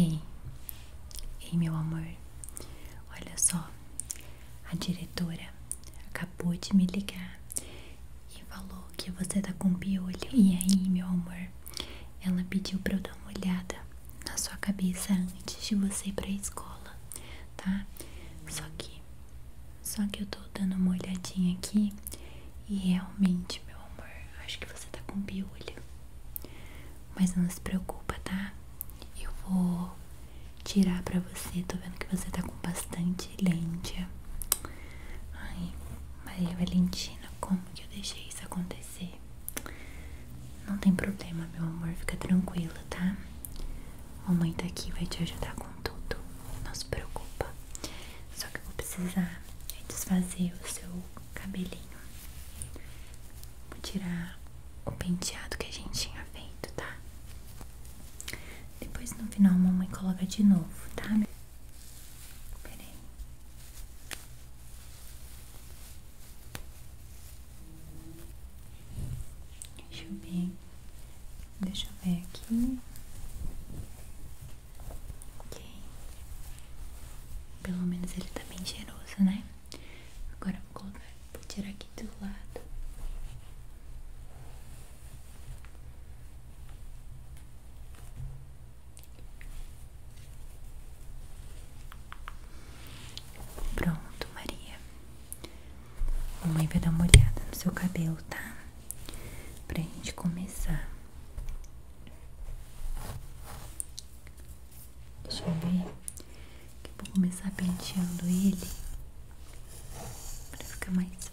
Ei, ei, meu amor, olha só, a diretora acabou de me ligar e falou que você tá com piolho. E aí, meu amor, ela pediu pra eu dar uma olhada na sua cabeça antes de você ir pra escola, tá? Só que, só que eu tô dando uma olhadinha aqui e realmente, meu amor, acho que você tá com piolho. Mas não se preocupa, tá? Eu vou tirar pra você. Tô vendo que você tá com bastante lente. Ai, Maria Valentina, como que eu deixei isso acontecer? Não tem problema, meu amor. Fica tranquila, tá? Mamãe tá aqui, vai te ajudar com tudo. Não se preocupa. Só que eu vou precisar é desfazer o seu cabelinho. Vou tirar o penteado que a gente tinha feito, tá? Depois no final a mamãe coloca de novo, tá? Pera aí. Deixa eu ver. Deixa eu ver aqui. Ok. Pelo menos ele tá bem cheiroso, né? Agora vou tirar aqui do lado. Pronto, Maria. A mãe vai dar uma olhada no seu cabelo, tá? Pra gente começar. Deixa eu ver. Que vou começar penteando ele para ficar mais fácil.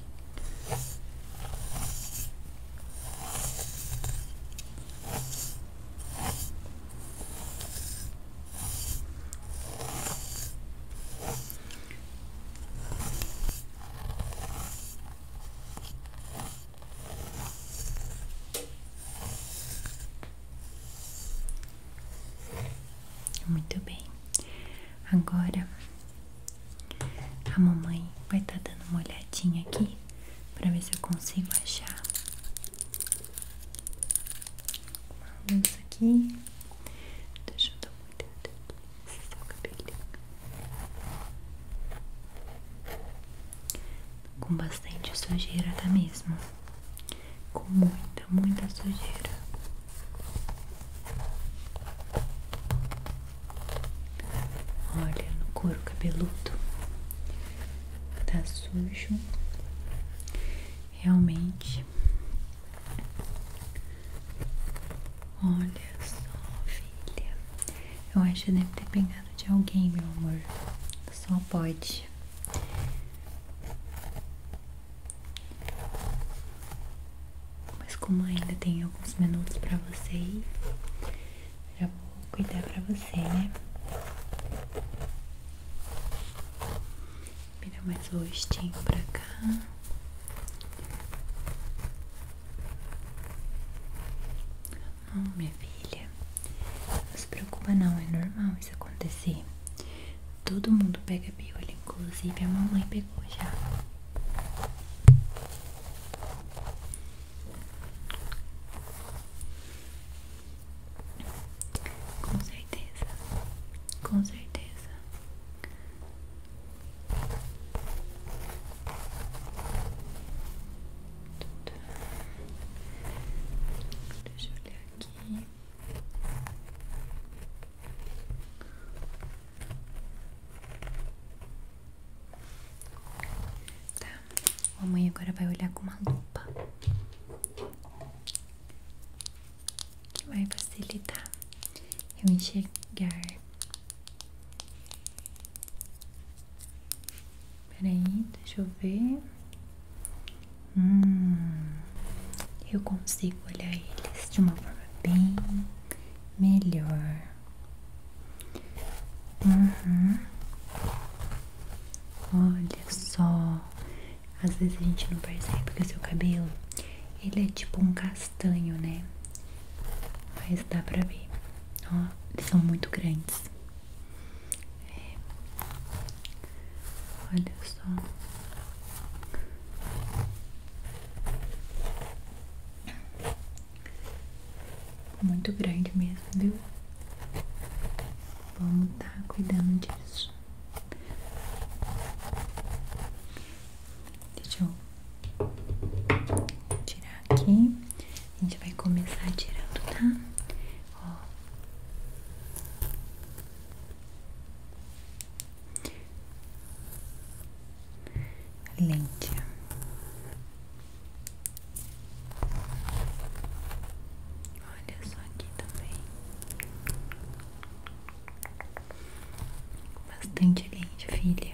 Muito bem, agora a mamãe vai estar tá dando uma olhadinha aqui para ver se eu consigo achar uma luz aqui. Deixa eu dar uma olhada nesse seu tá cabelinho. Com bastante sujeira, tá mesmo? Com muita, muita sujeira. Olha no couro cabeludo, tá sujo, realmente. Olha só, filha. Eu acho que deve ter pegado de alguém, meu amor. Só pode. Mas como ainda tem alguns minutos pra você já vou cuidar pra você, né? Vira mais o rostinho pra cá. Não, minha filha. Não se preocupa não, é normal isso acontecer. Todo mundo pega piolho, inclusive a mamãe pegou já. Com certeza, com certeza. Deixa eu olhar aqui. Tá, a mãe agora vai olhar com uma lupa que vai facilitar eu enxergar. Peraí, deixa eu ver. Hum, eu consigo olhar eles de uma forma bem melhor. Uhum. Olha só, às vezes a gente não percebe que o seu cabelo ele é tipo um castanho, né? Mas dá pra ver, ó, eles são muito grandes. É. Olha só. Muito grande mesmo, viu? Vamos estar tá cuidando disso. Deixa eu tirar aqui. A gente vai começar tirando, tá? Ó lente. Olha só aqui também. Bastante lente, filha.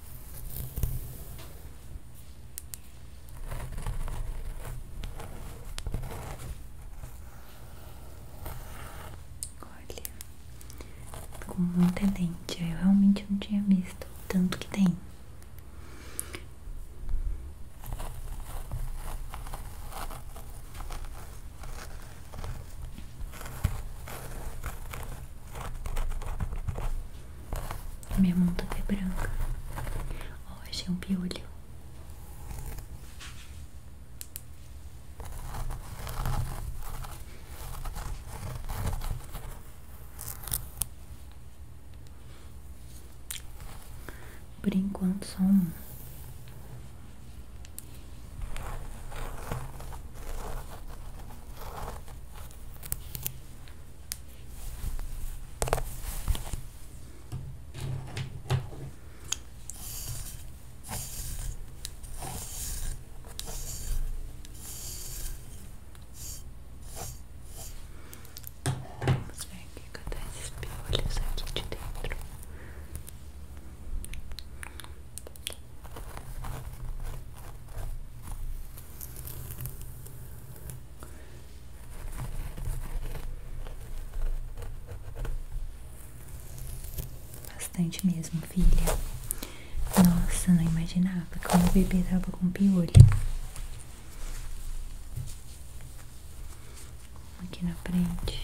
Olha, com muita dente, eu realmente não tinha visto o tanto que tem. Minha mão toda tá é branca. Ó, oh, achei um piolho. Por enquanto, só um. Vamos ver o que acontece esses piolhos aqui de dentro. Bastante mesmo, filha. Nossa, não imaginava que o bebê tava com piolho. Aqui na frente.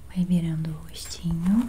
Vai virando o rostinho.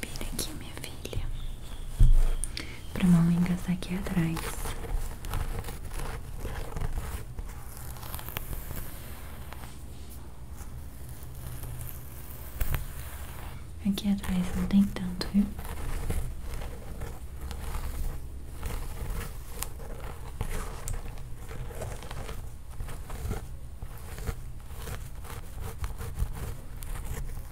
Vira aqui, minha filha. Pra mamãe engasar aqui atrás. Aqui atrás não tem tanto, viu?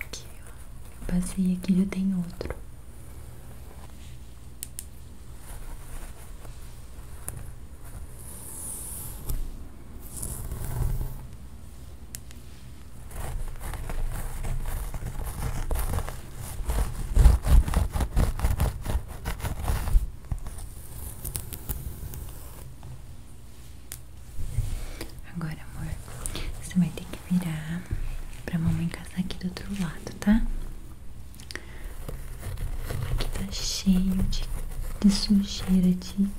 Aqui, Eu passei aqui, já tem outro. Agora, amor, você vai ter que virar pra mamãe casar aqui do outro lado, tá? que tá cheio de, de sujeira, de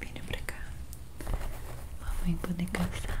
Vira pra cá. Mamãe poder cansar.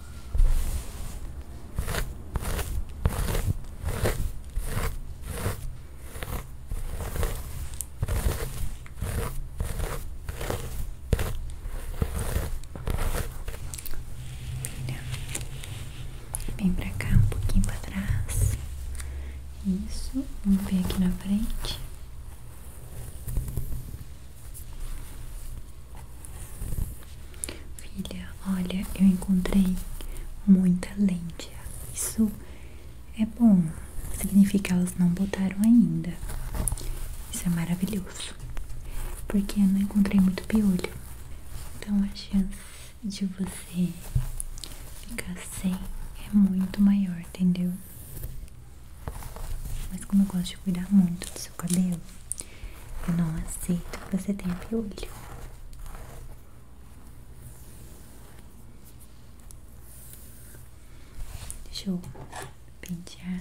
Vem pra cá, um pouquinho pra trás. Isso, vamos ver aqui na frente. Filha, olha, eu encontrei muita lente. Isso é bom. Significa que elas não botaram ainda. Isso é maravilhoso. Porque eu não encontrei muito piolho. Então a chance de você ficar sem é muito maior, entendeu? Mas como eu gosto de cuidar muito do seu cabelo, eu não aceito que você tenha piolho. Deixa eu pentear.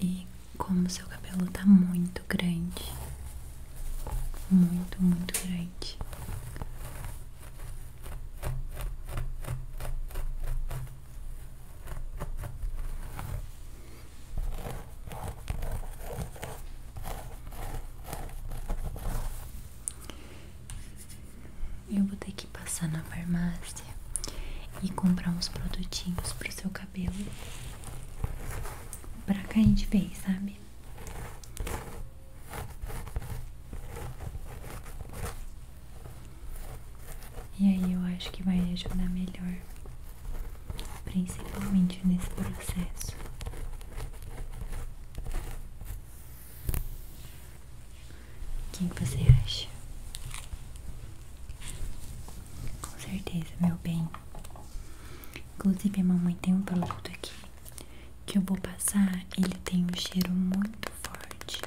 E como seu cabelo está muito grande, muito, muito grande. Eu vou ter que passar na farmácia e comprar uns produtinhos pro seu cabelo pra cair de vez, sabe? E aí eu acho que vai ajudar melhor, principalmente nesse processo. O que você acha? Com certeza, meu bem. Inclusive, a mamãe tem um produto aqui que eu vou passar. Ele tem um cheiro muito forte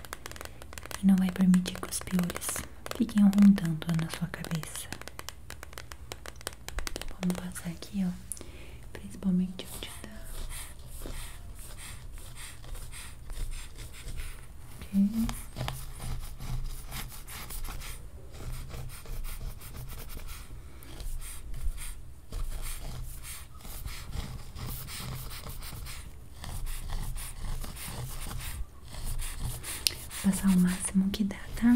e não vai permitir que os piolhos fiquem rondando na sua cabeça. Vamos passar aqui, ó, principalmente o que dá Vou passar o máximo que dá, tá?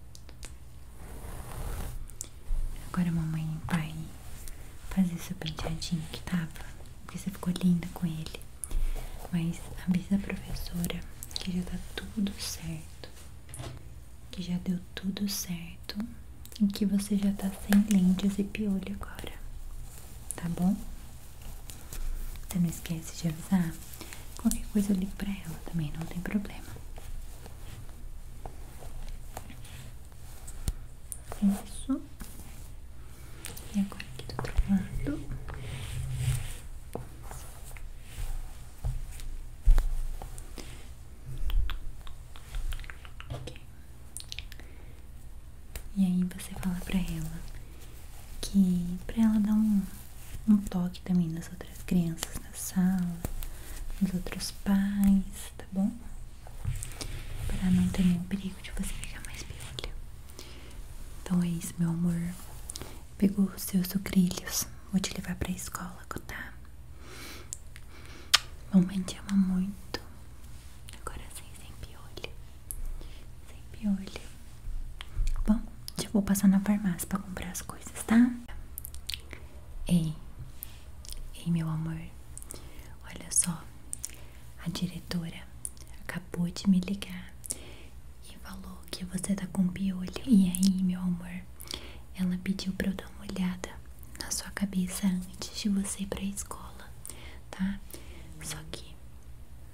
Agora a mamãe vai fazer seu penteadinho que tava, porque você ficou linda com ele. Mas avisa a professora que já tá tudo certo, que já deu tudo certo e que você já tá sem lentes e piolho agora, tá bom? Você não esquece de avisar? Qualquer coisa eu ligo pra ela também, não tem problema. Isso. E agora aqui do outro lado. E aí você fala pra ela que pra ela dar um, um toque também nessa as crianças na sala, os outros pais, tá bom? Para não ter nenhum perigo de você pegar mais piolho. Então é isso, meu amor. Pegou os seus sucrilhos, vou te levar pra escola, tá? Mamãe te ama muito. Agora sim, sem piolho. Sem piolho. Bom, já vou passar na farmácia pra comprar as coisas, tá? Ei, ei, meu amor, olha só, a diretora acabou de me ligar e falou que você tá com piolho. E aí, meu amor, ela pediu pra eu dar uma olhada na sua cabeça antes de você ir pra escola, tá? Só que,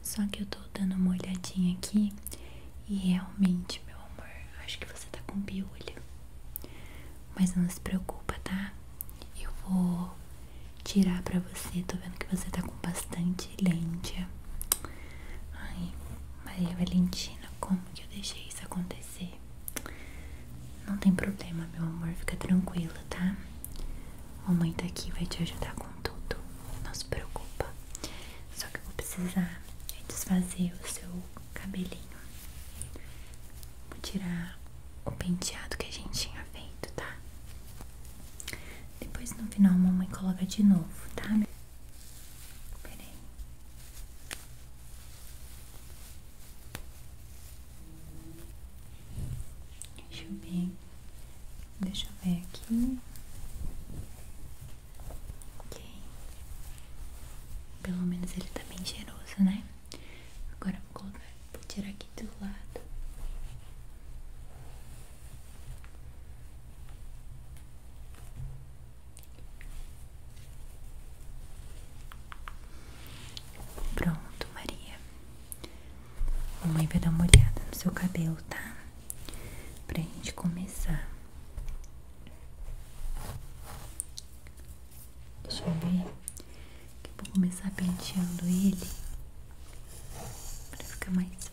só que eu tô dando uma olhadinha aqui e realmente, meu amor, acho que você tá com piolho. Mas não se preocupa, tá? Eu vou tirar pra você. Tô vendo que você tá com bastante lente. Ai, Maria Valentina, como que eu deixei isso acontecer? Não tem problema, meu amor. Fica tranquila tá? Mamãe tá aqui, vai te ajudar com tudo. Não se preocupa. Só que eu vou precisar é desfazer o seu cabelinho. Vou tirar o penteado que a gente tinha feito, tá? Depois no final mamãe coloca de novo, tá? Pera aí. Deixa eu ver. Deixa eu ver aqui. Ok. Pelo menos ele tá bem cheiroso, né? Agora vou tirar aqui do lado. Pronto, Maria. A Mamãe vai dar uma olhada no seu cabelo, tá? Pra gente começar. Deixa eu ver. Que vou começar penteando ele para ficar mais fácil.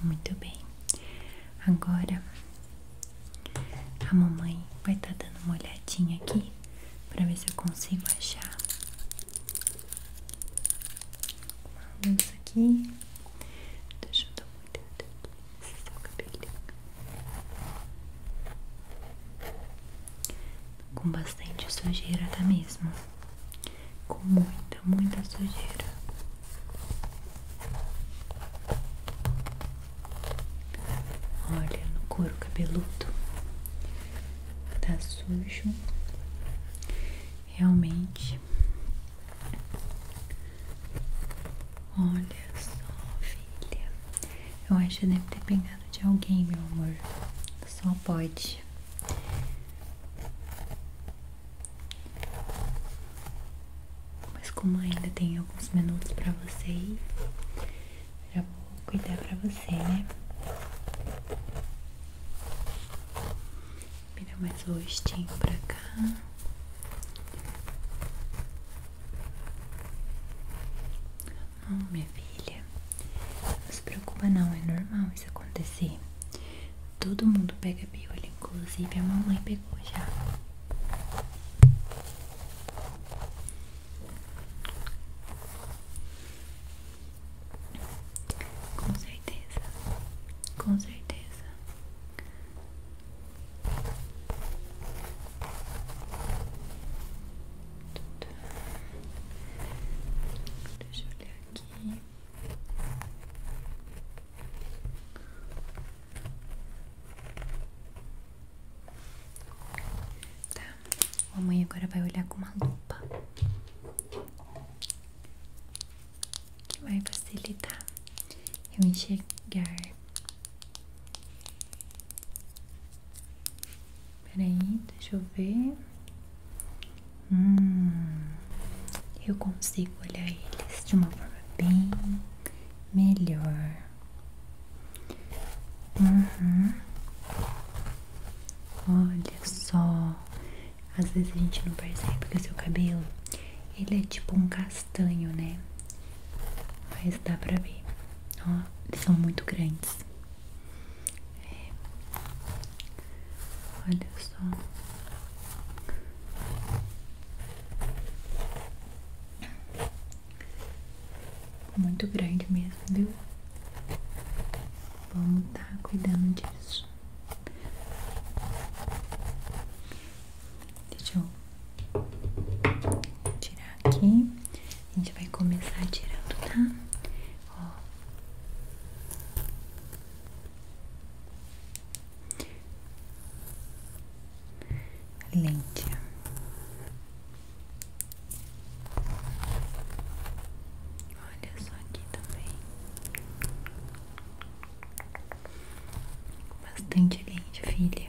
Muito bem, agora a mamãe vai estar tá dando uma olhadinha aqui para ver se eu consigo achar uma luz aqui. Deixa eu dar uma olhada aqui seu cabelinho. Com bastante sujeira, tá mesmo? Com muita, muita sujeira. Olha no couro cabeludo, tá sujo, realmente. Olha só, filha. Eu acho que deve ter pegado de alguém, meu amor. Só pode. Mas como ainda tem alguns minutos pra você já vou cuidar pra você, né? Vira mais o rostinho pra cá. Não, minha filha, não se preocupa não, é normal isso acontecer. Todo mundo pega piolho, inclusive a mamãe pegou já. Com certeza, com certeza. Deixa eu olhar aqui. Tá, a mãe agora vai olhar com uma lupa que vai facilitar eu enxergar. Peraí, deixa eu ver. Hum, eu consigo olhar eles de uma forma bem melhor. Uhum. Olha só, às vezes a gente não percebe que o seu cabelo ele é tipo um castanho, né? Mas dá pra ver, ó, eles são muito grandes. É. Olha só. Muito grande mesmo, viu? Vamos estar tá cuidando disso. Deixa eu tirar aqui. A gente vai começar tirando, tá? Ó. Lente. Olha só aqui também. Bastante lente, filha.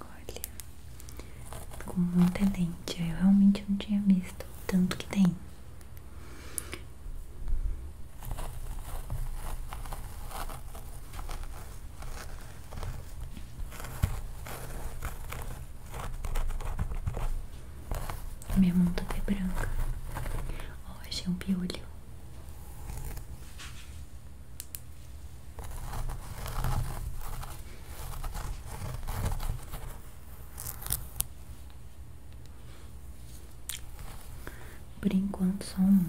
Olha, com muita dente eu realmente eu não tinha visto o tanto que tem. Minha mão toda tá é branca. Ó, oh, um piolho. Por enquanto, só um.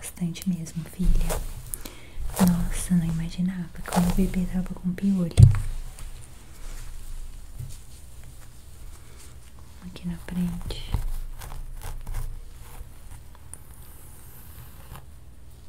Bastante mesmo, filha. Nossa, não imaginava como o bebê tava com piolho. Aqui na frente.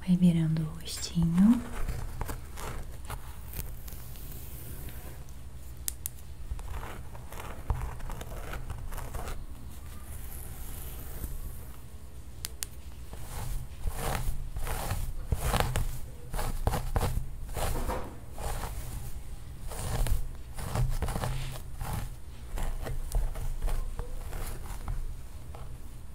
Vai virando o rostinho.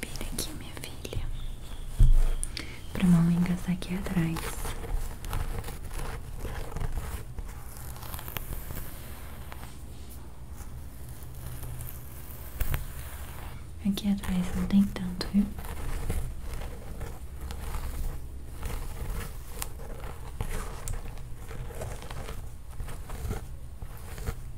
Vira aqui, minha filha. Pra mamãe engasar aqui atrás. Aqui atrás não tem tanto, viu?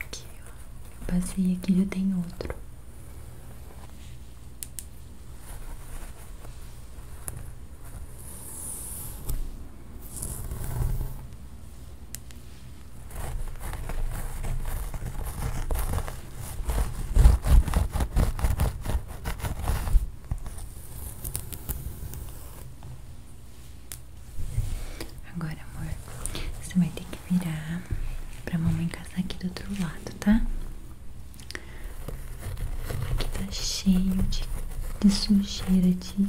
Aqui, Eu passei aqui, já tem outro. Agora, amor, você vai ter que virar pra mamãe casar aqui do outro lado, tá? que tá cheio de sujeira, de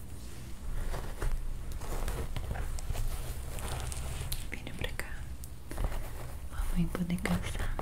Vira pra cá. Mamãe poder cansar. Vamos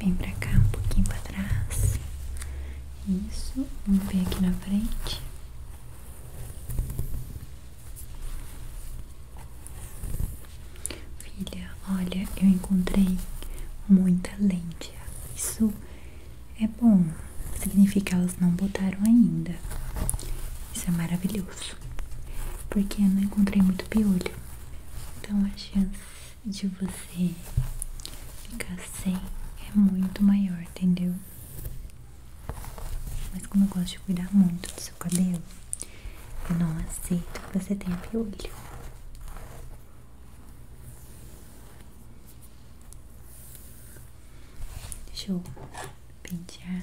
Vem pra cá, um pouquinho pra trás. Isso. Vamos ver aqui na frente. Filha, olha, eu encontrei muita lente. Isso é bom. Significa que elas não botaram ainda. Isso é maravilhoso. Porque eu não encontrei muito piolho. Então a chance de você ficar sem é muito maior, entendeu? Mas como eu gosto de cuidar muito do seu cabelo, eu não aceito que você tenha piolho. Deixa eu pentear.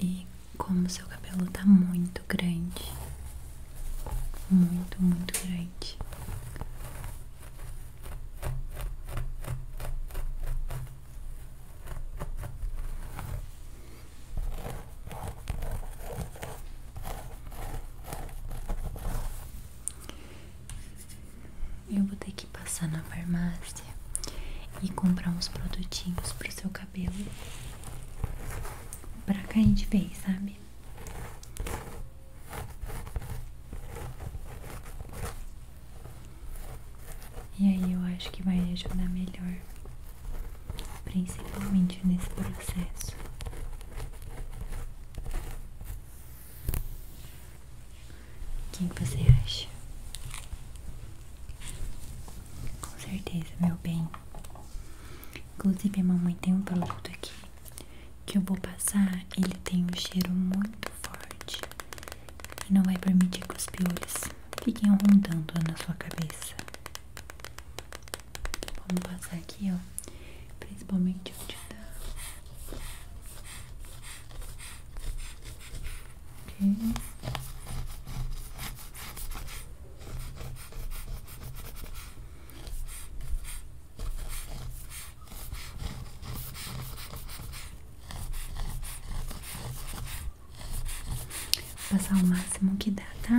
E como seu cabelo está muito grande, muito, muito grande. Eu vou ter que passar na farmácia e comprar uns produtinhos pro seu cabelo pra cair de bem, sabe? E aí eu acho que vai ajudar melhor, principalmente nesse processo. O que você acha? Com certeza, meu bem. Inclusive, a mamãe tem um produto aqui que eu vou passar. Ele tem um cheiro muito forte e não vai permitir que os piolhos fiquem rondando na sua cabeça. Vamos passar aqui, ó, principalmente onde tá. Ok. passar o máximo que dá, tá?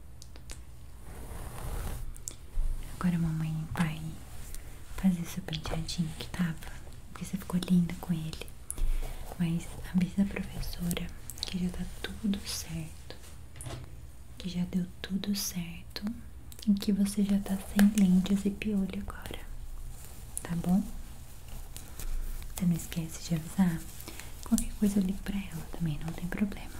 Agora a mamãe vai fazer seu penteadinho que tava, porque você ficou linda com ele. Mas avisa a professora que já tá tudo certo, que já deu tudo certo e que você já tá sem lentes e piolho agora, tá bom? Você não esquece de avisar? Qualquer coisa eu ligo pra ela também, não tem problema.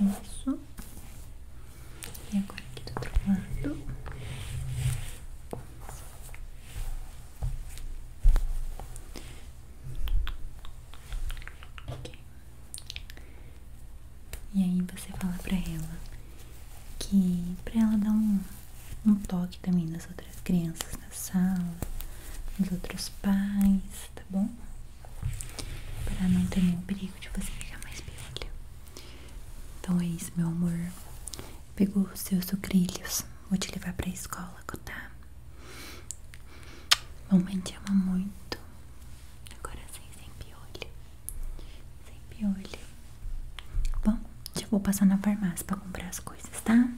Isso. E agora aqui do outro lado. E aí você fala pra ela que pra ela dar um, um toque também nessa outra outras crianças na sala, os outros pais, tá bom? Para não ter nenhum perigo de você pegar mais piolho. Então é isso, meu amor. Pegou os seus sucrilhos, vou te levar pra escola, tá? Mamãe te ama muito. Agora sim, sem piolho. Sem piolho. Bom, já vou passar na farmácia pra comprar as coisas, tá?